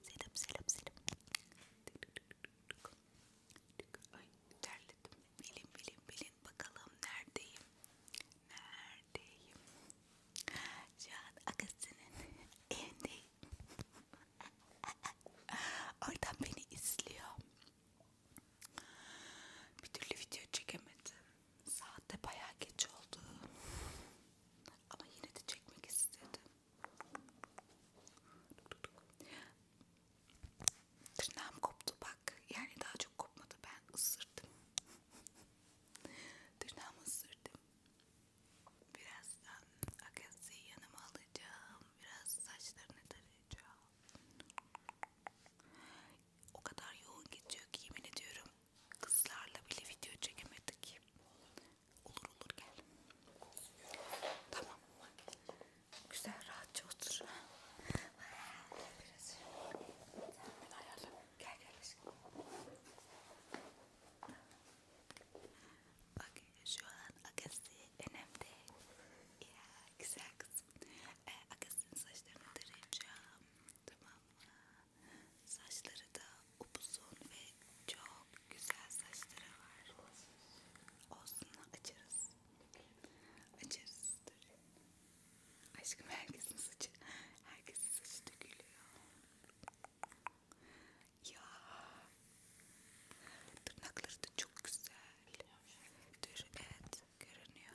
Selam selam selam. Ay terledim. Bilin bilin bilin bakalım neredeyim? Neredeyim? Şu an Agasının evindeyim. Oradan beni izliyor. Bir türlü video çekemedim. Saatte bayağı geç oldu. Ama yine de çekmek istedim. Tırnağım koptu bak. Yani daha çok kopmadı. Ben ısırdım. Tırnağımı ısırdım. Birazdan Akasya'yı yanıma alacağım. Biraz saçlarını tarayacağım. O kadar yoğun geçiyor ki yemin ediyorum Kızlarla bile video çekemedik. Olur olur gel. Tamam. Güzel rahatça otur. Biraz. Ben ayarla. Gel gel. Bak şu an akası önemli. Ya güzel kızım. Ee, akasının saçlarını tarayacağım. Tamam mı? Saçları da upuzun ve çok güzel saçları var. Olsun açarız. Açarız. Dur. Aşkım herkesin saçı, herkesin saçı dökülüyor. Ya tırnakları da çok güzel. Dur evet görünüyor.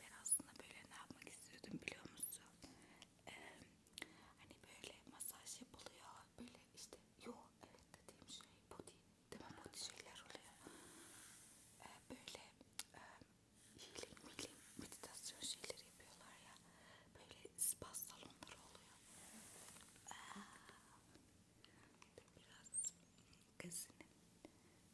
Ben aslında böyle ne yapmak istiyordum biliyor musun? Ee, hani böyle masaj yapılıyor. Böyle işte yok evet dediğim şey body değil mi? Body şeyler oluyor. Ee, böyle e, healing, healing meditasyon şeyleri yapıyorlar ya. Böyle spa salonları oluyor. Ee, biraz gazinin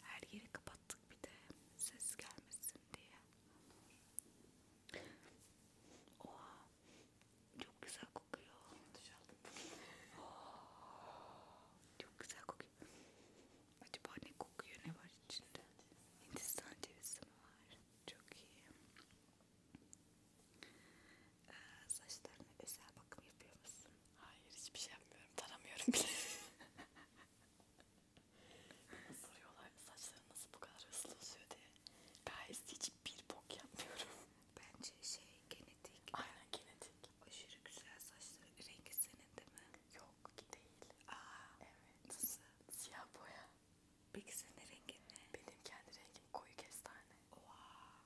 Her yeri kapattık bir de ses gelmesin diye. Oha çok güzel kokuyor. Oh, çok güzel kokuyor. Acaba ne kokuyor ne var içinde? Hindistan cevizi mi var? Çok iyi. Ee, saçlarına özel bakım yapıyor musun? Hayır hiçbir şey yapmıyorum. Taramıyorum bile. Soruyorlar saçların nasıl bu kadar hızlı uzuyor diye. Gayet hiç bir bok yapmıyorum. Bence şey genetik. Aynen genetik. Aşırı güzel saçları. Rengi senin değil mi? Yok değil. Aa, evet. Nasıl? Siyah boya. Peki senin rengin ne? Benim kendi rengim koyu kestane. Wow.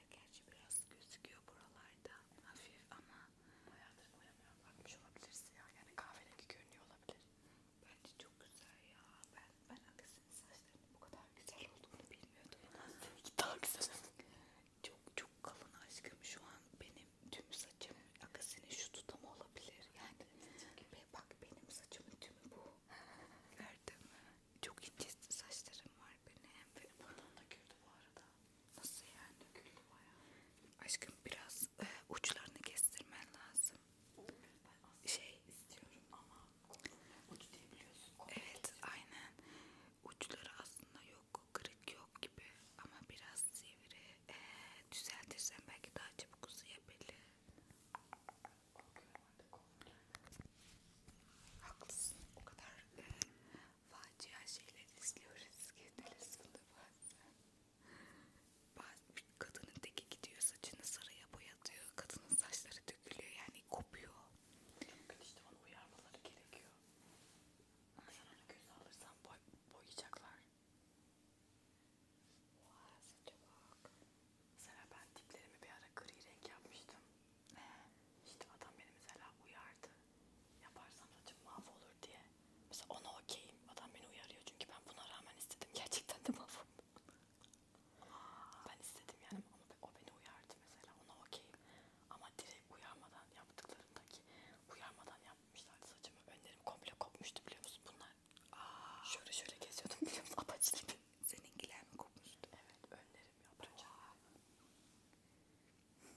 Ya gerçi biraz gözüküyor buralarda hafif ama bayağıdır boyamıyorum bakmış olabilirsin ya yani kahverengi görünüyor olabilir. Bence çok güzel ya ben ben aksine saçlarının bu kadar güzel olduğunu bilmiyordum. Daha güzel. Çok çok kalın aşkım şu an benim tüm saçım aksine şu tutam olabilir yani. Be, bak benim saçımın tümü bu. Gördün mü? Çok ince saçlarım var benim. Benim buradan da güldü bu arada. Nasıl yani? Güldü bayağı. Aşkım biraz e, uçlarını kestirmen lazım. Ben şey istiyorum ama uç diyebiliyorsun. Evet aynen. Uçları aslında yok. Kırık yok gibi. Ama biraz sivri. E, düzeltirsen belki daha çabuk uzayabilir. Korkuyorum artık. Haklısın. O kadar e, facia şeyler izliyoruz ki televizyonda bazen. Bazen kadının teki gidiyor saçını sarıya boyatıyor. Kadının saçları dökülüyor yani kopuyor. Çok işte onu uyarmaları gerekiyor. Sen onu göz alırsan boy, boyayacaklar. Vay wow, saça bak. Mesela ben diplerimi bir ara gri renk yapmıştım. Ee, işte adam beni mesela uyardı. Yaparsam saçım mahvolur diye. Mesela ona okeyim. Adam beni uyarıyor çünkü ben buna rağmen istedim. Gerçekten de mahvoldu. ben istedim yani ama o beni uyardı mesela. Ona okeyim. Ama direkt uyarmadan yaptıklarındaki uyarmadan yapmışlardı saçımı. Önlerim komple kopmuştu biliyor musun bunlar? Aa. Şöyle şöyle geziyordum biliyor musun? Apaçlı Seninkiler mi kopmuştu? Evet önlerim ederim yaptıracağım. Şey.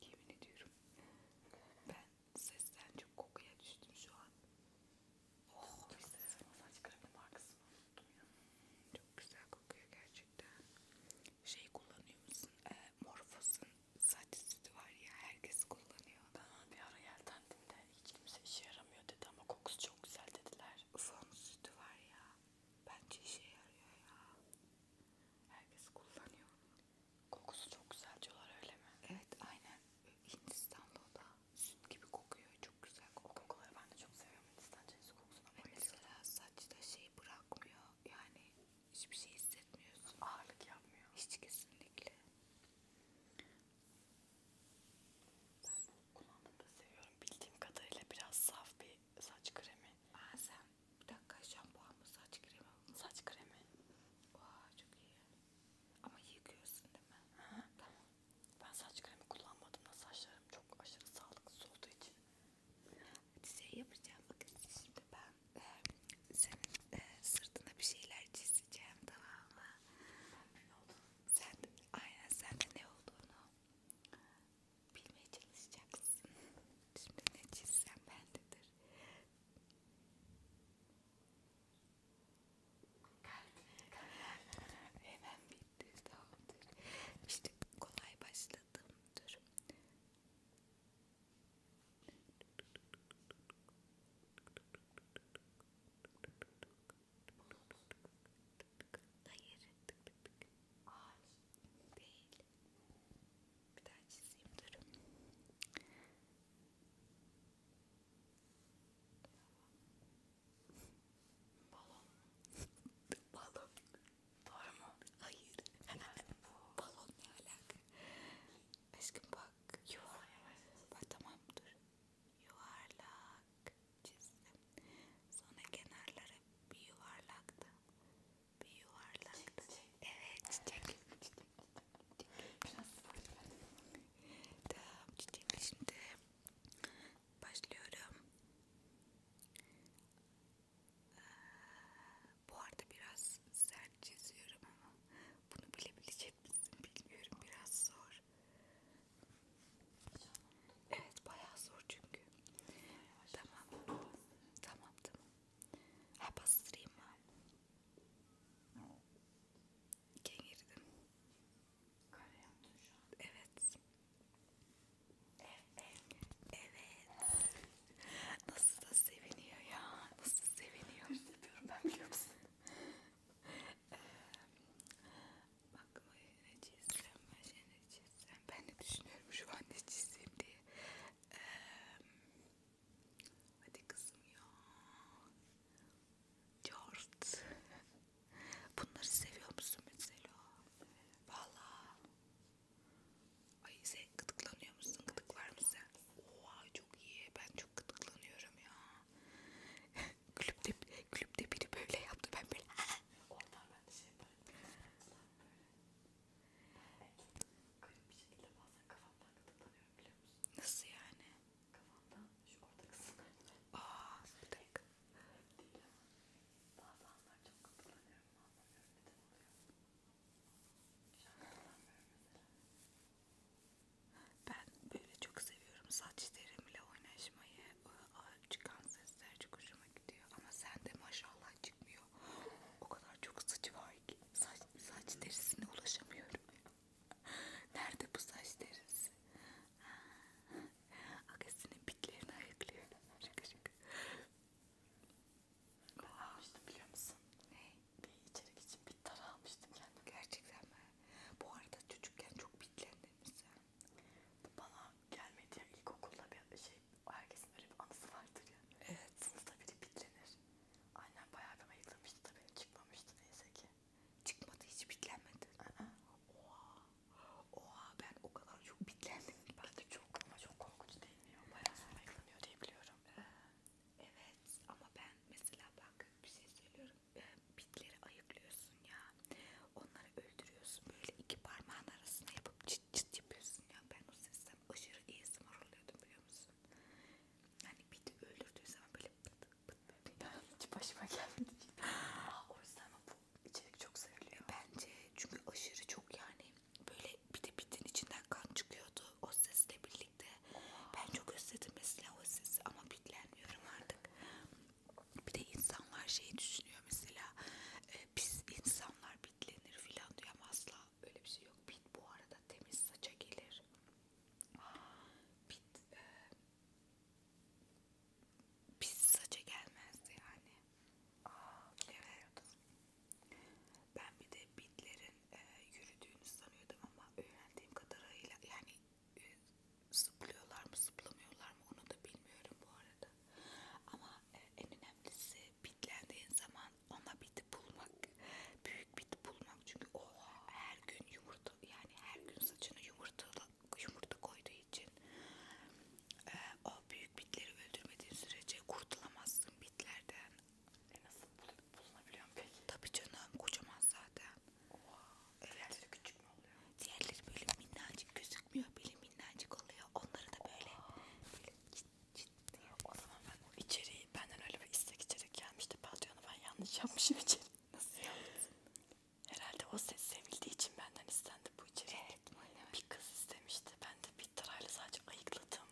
Yemin ediyorum. Ben sesten çok kokuya düştüm şu an. Oh, bir sesim saç kremi markasını unuttum ya. Çok güzel kokuyor gerçekten. Şey kullanıyor musun? E, Morphos'un saç sütü var ya herkes kullanıyor. Ben bir ara yeltendim de hiç kimse işe yaramıyor dedi ama kokusu çok güzel dediler. Ufon sütü var ya. Bence işe yarıyor ya. Herkes kullanıyor. Kokusu çok güzel diyorlar öyle mi? Evet aynen. Hindistan'da o da süt gibi kokuyor. Çok güzel kokuyor. O kokuları ben de çok seviyorum. Hindistan cevizi kokusuna bayılıyorum. Mesela saçta şey bırakmıyor. Yani hiçbir şey hissetmiyorsun. Ağırlık yapmıyor. Hiç kesinlikle. Ben kullanmayı da seviyorum. Bildiğim kadarıyla biraz saf bir saç kremi. Aa sen bir dakika şampuan mı saç kremi mi? Saç kremi. Vay çok iyi. Ama yıkıyorsun değil mi? Hı. Tamam. Ben saç kremi kullanmadım da saçlarım çok aşırı sağlıksız olduğu için. Şey yapacağım bakın şimdi ben e, senin e, sırtına bir şeyler çizeceğim tamam mı? Ben ne olduğunu. Sen, aynen sen de ne olduğunu bilmeye çalışacaksın. Şimdi ne çizsem bendedir. Hemen bitti tamamdır. İşte kolay başladım. Dur. Hayır. Ağaç değil. Bir daha çizeyim durun. Balon. Balon. Doğru mu? Hayır. Bu. Balon ne alaka? Aşkım bak. Yuvarlak. Bak tamam dur. Yuvarlak çizdim. Sonra kenarları bir yuvarlaktı. Bir yuvarlaktı. Çiçek. Evet çiçek. çiçek. tamam çiçekle şimdi başlıyorum. Ee, bu arada biraz sert çiziyorum ama bunu bilebilecek misin bilmiyorum biraz zor zor. Evet bayağı zor çünkü. Tamam. Tamam tamam. Ha bastırayım mı? İken girdim. Kare yaptın şu an. Evet. Evet. Evet. Nasıl da seviniyor ya. Nasıl seviniyor. Hırs yapıyorum ben biliyor musun? Bak ne çizsem, ne çizsem. Ben de düşünüyorum şu an ne çizsem diye. Ee, hadi kızım ya. Cort. Bunları seviyor musun mesela? Valla. Ay sen gıdıklanıyor musun? Gıdık var mı sen? Oha çok iyi. Ben çok gıdıklanıyorum ya. Kulüpte, kulüpte biri böyle yaptı ben böyle. Ah, ah. Oradan ben de şey yaparım. Garip bir şekilde bazen kafamdan gıdıklanıyorum biliyor musun? Nasıl yani? Kafamdan şu orta kısımlar. Aaa bir dakika. Hep değil ama bazı anlar çok gıdıklanıyorum. Anlamıyorum neden oluyor. Şu an gıdıklanmıyorum mesela. Ben böyle çok seviyorum seviyorum. Saç derimle oynaşmayı. Iı, çıkan sesler çok hoşuma gidiyor. Ama sende maşallah çıkmıyor. O kadar çok saçı var ki. Saç, saç derisine ulaşamıyorum. Nerede bu saç derisi? Agasinin ah. bitlerini ayıklıyorum. Şaka şaka. Ben almıştım biliyor musun? Ne? Bir içerik için bitler almıştım kendime. Gerçekten mi? Bu arada çocukken çok bitlendim sen. Bana gelmedi ya ilkokulda bir şey, herkesin öyle bir anısı vardır ya. Evet. Sınıfta biri bitlenir. Annem bayağı bir ayıklamıştı da benim çıkmamıştı neyse ki. Çıkmadı hiç bitlenmedi. Aa. Oha. Oha ben o kadar çok bitlendim. Ben de çok ama çok korkunç değil mi ya? Bayağı sonra ayıklanıyor diye biliyorum. Ee, evet ama ben mesela bak bir şey söylüyorum e, bitleri ayıklıyorsun ya. Onları öldürüyorsun. Böyle iki parmağın arasına yapıp çıt çıt yapıyorsun ya. Ben o sesten aşırı iyi oluyordum biliyor musun? Yani biti öldürdüğü zaman böyle pıt pıt pıt. Ya hiç başıma gelmedi. Aa, o yüzden bu içerik çok seviliyor. Bence çünkü aşırı çok yani böyle bir de bitin içinden kan çıkıyordu o sesle birlikte. Ben çok özledim mesela o sesi ama bitlenmiyorum artık. Bir de insanlar şeyi düşünüyor mesela e, biz insanlar bitlenir filan diyor ama asla öyle bir şey yok. Bit bu arada temiz saça gelir. Bit e, pis saça gelmez yani. Aa, evet. Ben bir de bitlerin e, yürüdüğünü sanıyordum ama öğrendiğim kadarıyla yani e, zıplıyorlar mı zıplamıyorlar mı onu da bilmiyorum bu arada. Ama e, en önemlisi bitlendiğin zaman ona biti bulmak. Büyük biti bulmak çünkü o her gün yumurta yani her gün saçına yumurta, yumurta koyduğu için e, o büyük bitleri öldürmediğin sürece kurtulamazsın bitlerden. E nasıl bul bulunabiliyorum peki? Tabii canım kocaman zaten. Oha. Diğerleri evet. küçük mü oluyor? Diğerleri böyle minnacık gözükmüyor. Böyle minnacık oluyor. Onları da böyle, böyle cid, cid diye. O zaman ben o içeriği benden öyle bir istek içerik gelmişti. Patronu ben yanlış yapmışım içeri. Nasıl yaptın? Herhalde o ses sevildiği için benden istendi bu içerik. Evet, evet. Bir kız istemişti. Ben de bir tarayla sadece ayıkladım.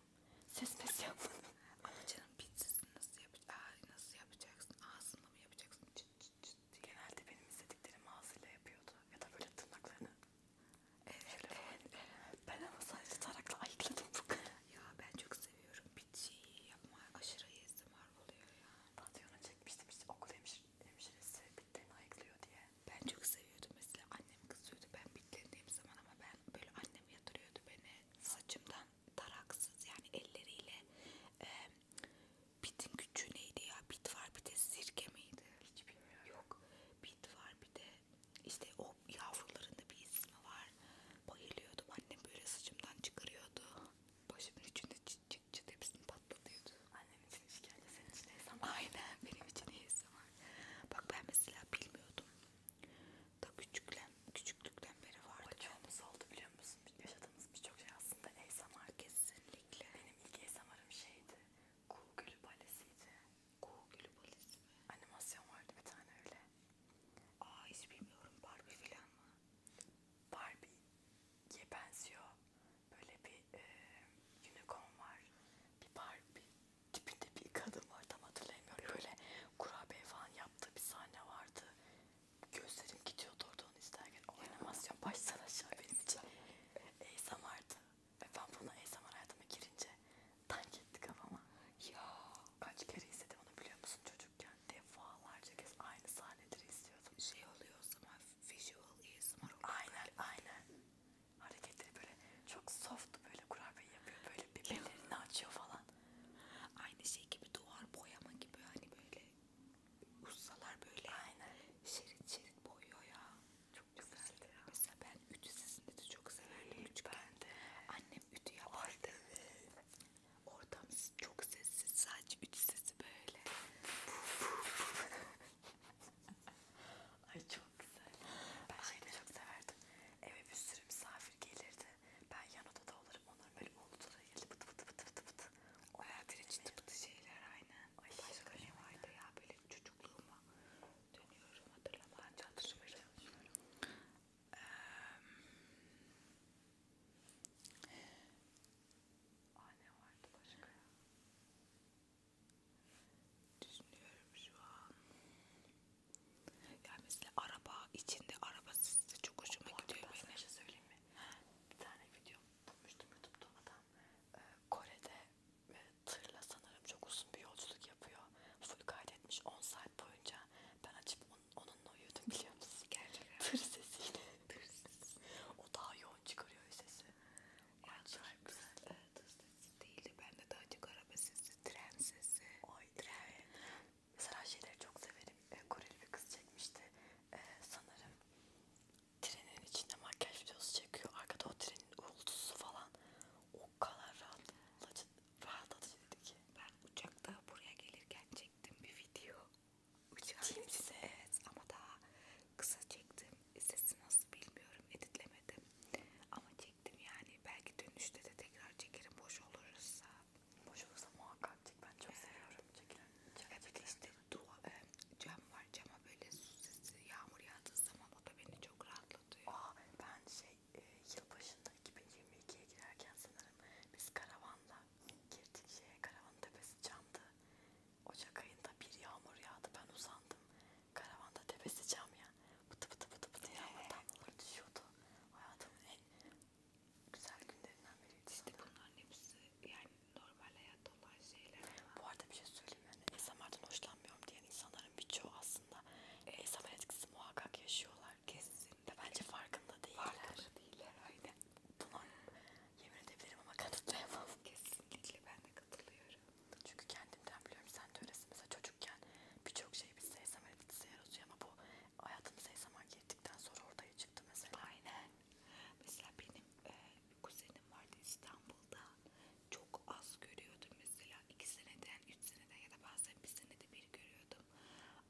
Ses mes yapmadım. Ama canım pizzasını nasıl yapacaksın? Nasıl yapacaksın? Ağzınla mı yapacaksın? çıt çıt diye. Genelde benim istediklerimi ağzıyla yapıyordu. Ya da böyle tırnaklarını. Evet, şöyle evet, evet. Ben ama sadece tarakla ayıkladım bu kadar. Ya ben çok seviyorum. Bitçiyi yapma aşırı ASMR oluyor ya. Patyonu çekmiştim işte okul hemşir hemşiresi bitlerini ayıklıyor diye. Ben çok seviyordum mesela. Annem kızıyordu ben bitlerindeyim zaman ama ben böyle annem yatırıyordu beni saçımdan taraksız yani elleriyle e, Bit'in küçüğü neydi ya? Bit var bir de sirke miydi? Hiç bilmiyorum. Yok. Bit var bir de işte o yavrularında bir ismi var. Bayılıyordum. Annem böyle saçımdan çıkarıyordu. Başımın içinde çıt çıt çıt hepsini patlatıyordu. Annem için işkence senin için hesam var. Aynen benim için hesam var. Bak ben mesela bilmiyordum. Da küçüklen, küçüklükten beri vardı. Bacağımız oldu biliyor musun? yaşadığımız birçok şey aslında ASMR kesinlikle. Benim ilk ASMR'ım şeydi. Kuğu gülü balesiydi. Kuğu gülü balesi mi? Animasyon vardı bir tane öyle. Aa hiç bilmiyorum. Barbie falan mı? Barbie'ye benziyor. Böyle bir e, unicorn var. Bir Barbie tipinde bir kadın var tam hatırlayamıyorum. Böyle kurabiye falan yaptığı bir sahne vardı. Gözlerim gidiyordu orada onu izlerken. Oynamasyon baştan aşağı benim için. ASMR'dı. Ve ben bunu ASMR hayatıma girince tank etti kafama. Ya kaç kere izledim onu biliyor musun çocukken? Defalarca kez aynı sahneleri izliyordum. Şey oluyor o zaman visual ASMR oluyor. Aynen aynen. Hareketleri böyle çok soft böyle kurabiye yapıyor. Böyle bir belirini açıyor falan aynı şey gibi duvar boyama gibi hani böyle ustalar böyle Aynen. şerit şerit boyuyor ya. Çok güzeldi ya. Mesela ben ütü sesini de çok severdim küçükken. de. Annem ütü yapardı. Ortam çok sessiz. Sadece ütü sesi böyle. Ay çok güzel. Ben şeyi çok severdim. Eve bir sürü misafir misafir gelirdi. Ben yan odada olurum. Onlar böyle odada geldi pıtı pıtı pıtı pıtı pıtı. O hayatın içinde pıtı şeyler aynen. Ay başka ne vardı ya böyle çocukluğuma dönüyorum hatırlamaya çalışıyorum. Ee, Aa ne vardı başka ya? Düşünüyorum şu an. Yani mesela araba içinde araba size çok hoşuma o, gidiyor benim. Ben şey söyleyeyim mi? Bir tane video bulmuştum YouTube'da adam ee, Kore'de e, tırla sanırım çok uzun bir yolculuk yapıyor. Full kaydetmiş 10 saat boyunca. Ben açıp on, onunla uyudum biliyor musun? Gerçekten. Tır sesiyle. Tır sesi. o daha yoğun çıkarıyor sesi. Ay çok güzel. Tır sesi değildi. Bende daha çok araba sesi, tren sesi. Oy tren. Mesela şeyleri çok severim. E, Koreli bir kız çekmişti. E, sanırım trenin içinde makyaj videosu çekiyor. Arkada o trenin uğultusu falan. O kadar rahatlatıcı, rahatlatıcıydı ki. Ben uçakta buraya gelirken çektim bir video. Uçağın size evet ama daha kısa çektim. E, sesi nasıl bilmiyorum editlemedim. Ama çektim yani. Belki dönüşte de tekrar çekerim boş olursa. Boş olursa muhakkak çek. Ben çok seviyorum. Çekilen. Çekilen. Evet işte dua, e, cam var. Cama böyle su sesi yağmur yağdığı zaman o da beni çok rahatlatıyor. Aa, ben şey e, yılbaşında 2022'ye girerken sanırım biz karavanla girdik şeye. Karavanın tepesi camdı. Ocak ayında bir yağmur yağdı. Ben uzandım. Karavanda tepesi cam ya. Pıtı pıtı pıtı pıtı yağmur damlaları düşüyordu. Hayatımın en güzel günlerinden biriydi işte sanırım. bunların hepsi yani normal hayatta olan şeyler. Bu arada bir şey söyleyeyim yani ASMR'dan hoşlanmıyorum diyen insanların birçoğu aslında evet. ASMR etkisi muhakkak yaşıyorlar. Kesinlikle. Ve bence farkında değiller. Farkında değiller aynen. Buna yemin edebilirim ama kanıtlayamam. Kesinlikle ben de katılıyorum. Çünkü kendimden biliyorum sen de öylesin. Mesela çocukken birçok şey biz ASMR etkisi yaratıyor ama bu hayatımıza zaman girdikten sonra ortaya çıktı mesela. Aynen. Mesela benim e, kuzenim vardı İstanbul'da. Çok az görüyordum mesela. iki seneden, üç seneden ya da bazen bir senede bir görüyordum.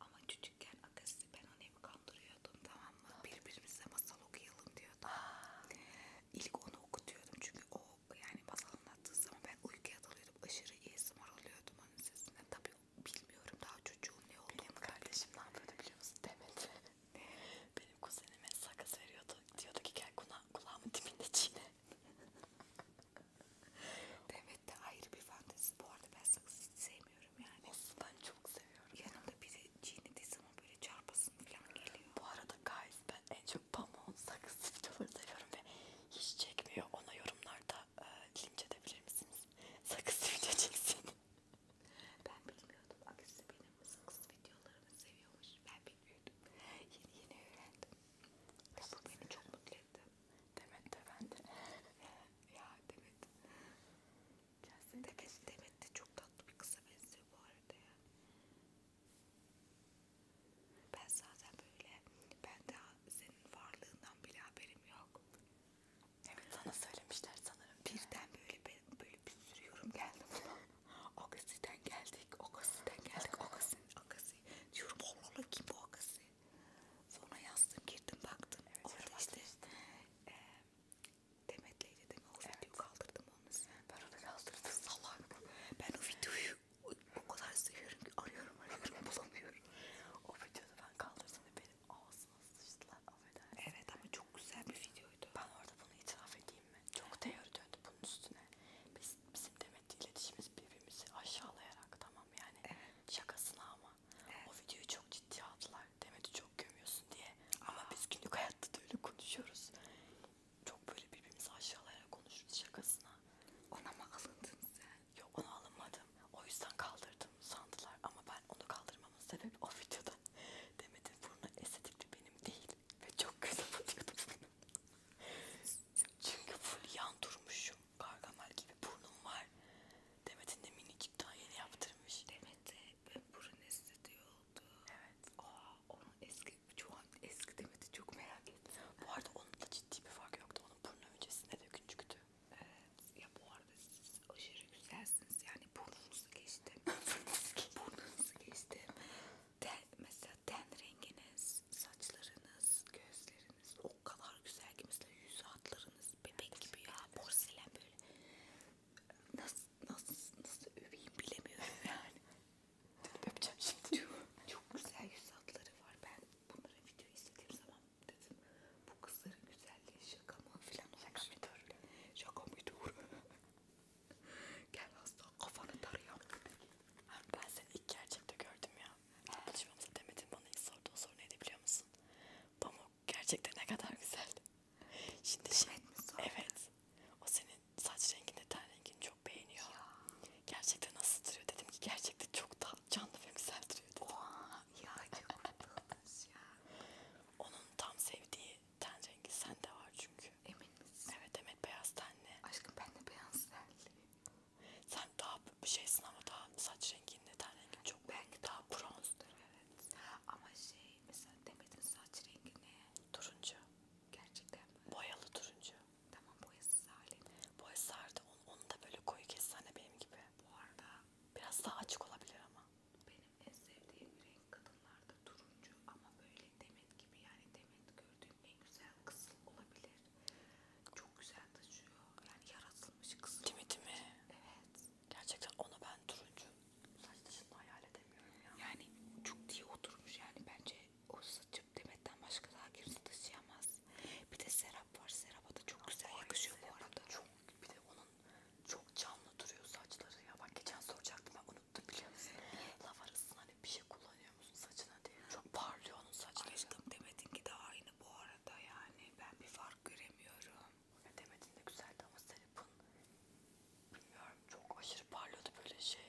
Ama çocukken akası ben onu hep kandırıyordum tamam mı? Birbirimize masal okuyalım diyordum. Aa. İlk onu okutuyordum çünkü o yani masal anlattığı zaman ben uykuya dalıyordum. Aşırı ASMR oluyordum onun sesinden. Tabi bilmiyorum daha çocuğum ne oldu. Benim kardeşim ne yapıyordu biliyor musun? Demedi. Benim kuzenime sakız veriyordu. Diyordu ki gel kula kulağımın dibinde çiğne. Demet de ayrı bir fantezi. Bu arada ben sakızı hiç sevmiyorum yani. Nasıl ben çok seviyorum. Yanımda biri çiğnediği zaman böyle çarpasın falan geliyor. Bu arada guys ben en çok pamuğun sakız videoları seviyorum ve hiç çekmiyor. Ona yorumlarda e, linç edebilir misiniz? Sakız video çeksin. ben bilmiyordum. Aküsü benim sakız videolarımı seviyormuş. Ben bilmiyordum. Yeni yeni öğrendim. Ya bu beni çok mutlu etti. Demet de ben de. ya Demet. Gelsin Demet, Demet de çok tatlı bir kıza benziyor bu arada ya. Ben zaten böyle, ben daha senin varlığından bile haberim yok. Evet sana söylemişler sanırım. Birden böyle ben böyle bir sürü yorum geldi buna. Akasi'den geldik, Akasi'den geldik, Akasi, Akasi. Diyorum Allah Allah kim bu Akasi? Sonra yazdım, girdim baktım. Evet, Orada işte, işte. E, Demet'leydi değil mi? O evet. videoyu kaldırdım onu sen. Ben onu kaldırdım salak. Ben o videoyu o kadar seviyorum ki arıyorum arıyorum bulamıyorum. O videoda ben kaldırdım ve benim ağzıma sıçtılar affedersin. Evet ama çok güzel bir videoydu. Ben orada bunu itiraf edeyim mi? Çok teori döndü bunun üstüne. Biz, bizim Demet'le iletişimimiz birbirimizi aşağılayarak tamam yani evet. şakasına ama evet. o videoyu çok ciddiye aldılar. Demet'i çok gömüyorsun diye. Aa. Ama biz günlük hayatta da öyle konuşuyoruz. Çok böyle birbirimizi aşağılayarak konuşuruz şakasına. Ona mı alındın sen? Yok onu alamadım. O yüzden kaldırdım sandılar ama ben onu kaldırmamın sebebi o videoda Demet'in burnu estetikti benim değil ve çok kötü batıyordum benim. Çünkü full yan durmuşum. Gargamel gibi burnum var. Demet'in de minicik daha yeni yaptırmış. Demet de burun estetiği oldu. Evet. Aa, onu eski, şu an eski Demet'i çok merak ediyorum. Bu arada onun da ciddi bir fark yoktu. Onun burnu öncesinde de küçüktü. Evet. Ya bu arada siz aşırı güzelsiniz. Yani burnunuzu geçtim. burnunuzu geçtim. Ten, mesela ten renginiz, saçlarınız, gözleriniz o kadar güzel ki mesela yüz hatlarınız bebek evet, gibi ya. Porselen böyle. Nasıl nasıl nasıl öveyim bilemiyorum yani. Öpeceğim şimdi. Çok güzel yüz hatları var. Ben bunların videoyu izlediğim zaman dedim bu kızların güzelliği şaka mı filan olmuş. Şaka mı dur? Şaka mı dur? Gel hasta kafanı tarıyorum. Ben seni ilk gerçekte gördüm ya. Buluşmamıza demedin bana ilk sordu. O soru neydi biliyor musun? Pamuk gerçekten ne kadar güzel. Şimdi şey, evet, o senin saç rengini, ten rengini çok beğeniyor. Ya. Gerçekten nasıl duruyor dedim ki gerçekten çok da canlı ve güzel duruyor dedim. Oha, ya çok tatlısın ya. Onun tam sevdiği ten rengi sende var çünkü. Emin misin? Evet evet beyaz tenli. Aşkım ben de beyaz tenli. Sen daha bir şeysin ama daha saç renginde ten rengi çok. Belki daha bronzdur evet. Ama şey mesela Demet'in saç rengi ne? Turuncu. Gerçekten mi? Boyalı turuncu. Tamam boyasız hali. Boyasız hali onu, onu da böyle koyu kessene hani benim gibi. Bu arada biraz daha açık olabilir ama. Benim en sevdiğim renk kadınlarda turuncu ama böyle demet gibi yani demet gördüğüm en güzel kızıl olabilir. Çok güzel taşıyor. Yani yaratılmış kızıl. Değil, değil mi? Evet. Gerçekten onu ben turuncu saç taşını hayal edemiyorum ya. Yani çok diye oturmuş yani bence o saçım Demet'ten başka daha kimse taşıyamaz. Bir de Serap var. Serap'a da çok güzel Ay, yakışıyor bu arada. Çok, bir de onun çok canlı duruyor saçları ya. Bak geçen soracaktım ben unuttum biliyor musun? Laf arasında hani bir şey kullanıyor musun saçına diye. Çok parlıyor onun saçları. Aşkım Demet'inki de aynı bu arada yani. Ben bir fark göremiyorum. E, Demet'in de güzeldi ama Serap'ın bilmiyorum çok aşırı parlıyordu böyle şey.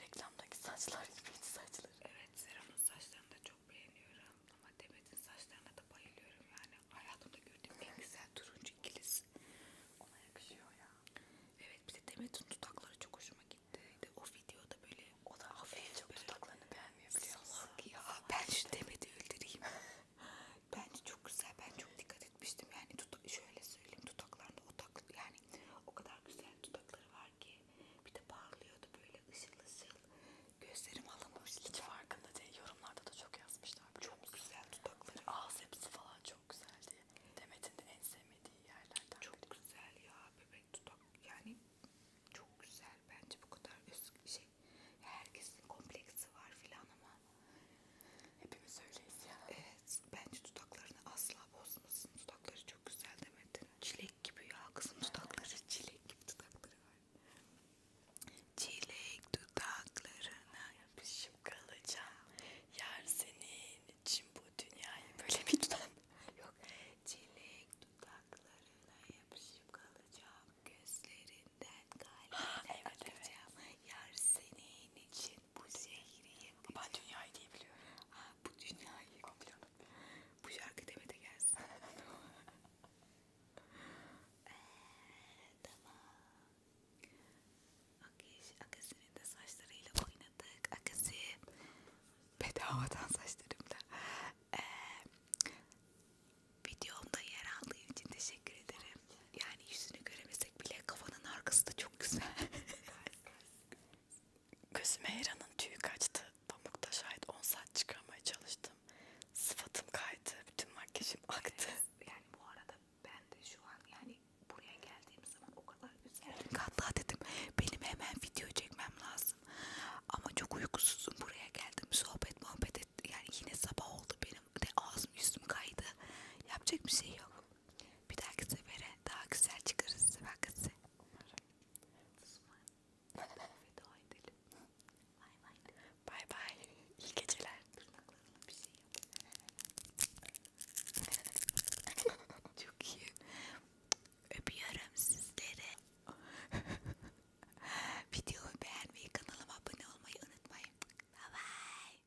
Reklamdaki saçlar gibi saçları. Evet Serap'ın saçlarını da çok beğeniyorum. Ama Demet'in saçlarına da bayılıyorum yani. Hayatımda gördüğüm en güzel turuncu ikilisi. Ona yakışıyor ya. Evet bir de Demet'in dudakları çok hoşuma gitti. O videoda böyle o da hafif çok böyle dudaklarını beğenmiyor biliyor musun? Salak ya. Salak ben şu Demet'i öldüreyim. Bence çok güzel. Ben çok dikkat etmiştim. Yani şöyle söyleyeyim dudaklarında o yani o kadar güzel dudakları var ki bir de parlıyordu böyle ışıl ışıl. Gözlerim alınmış. Hiç farkında değil. Yorumlarda da çok yazmışlar. Çok güzel dudakları. Ağız yapısı falan çok güzeldi. Demet'in de en sevmediği yerlerden Çok biri. güzel ya bebek dudak. Yani çok güzel. Bence bu kadar özgü şey. Herkesin kompleksi var filan ama. Hepimiz öyleyiz ya. Evet bence tutaklarını asla bozmasın. Tutakları çok güzel demedin. Çilek gibi ya kızım tutakları. Çilek gibi tutakları var. Çilek dudaklarına yapışıp kalacağım. Yar senin için bu dünyayı böyle bir tutam. Yok. Çilek dudaklarına yapışıp kalacağım. Gözlerinden kalbine evet, evet. Yar senin için bu şehriye Ben dünyayı diye biliyorum. Ha, bu dünyayı biliyorum. Bu şarkı demede gelsin. ee, tamam. Okey, Akasi'nin de saçlarıyla oynadık. Akasi bedavadan saçlarımla. Ee, videomda yer aldığın için teşekkür ederim. Yani yüzünü göremesek bile kafanın arkası da çok güzel. Gözüme Hera'nın tüyü kaçtı. Pamukta şayet 10 saat çıkarmaya çalıştım. Sıfatım kaydı. Bütün makyajım aktı. Evet, yani bu arada ben de şu an yani buraya geldiğim zaman o kadar üzerdim. Hatta dedim benim hemen video çekmem lazım. Ama çok uykusuzum buraya geldim. Sohbet muhabbet et. Yani yine sabah oldu benim de ağzım yüzüm kaydı. Yapacak bir şey yok. Bir dahaki sefere daha güzel çıkarız vakası. Veda edelim. Bay bay. Bay bay. İyi geceler. Tırnaklarına bir şey yap. Çok iyi. Öpüyorum sizleri. Videoyu beğenmeyi, kanalıma abone olmayı unutmayın. Bye bye.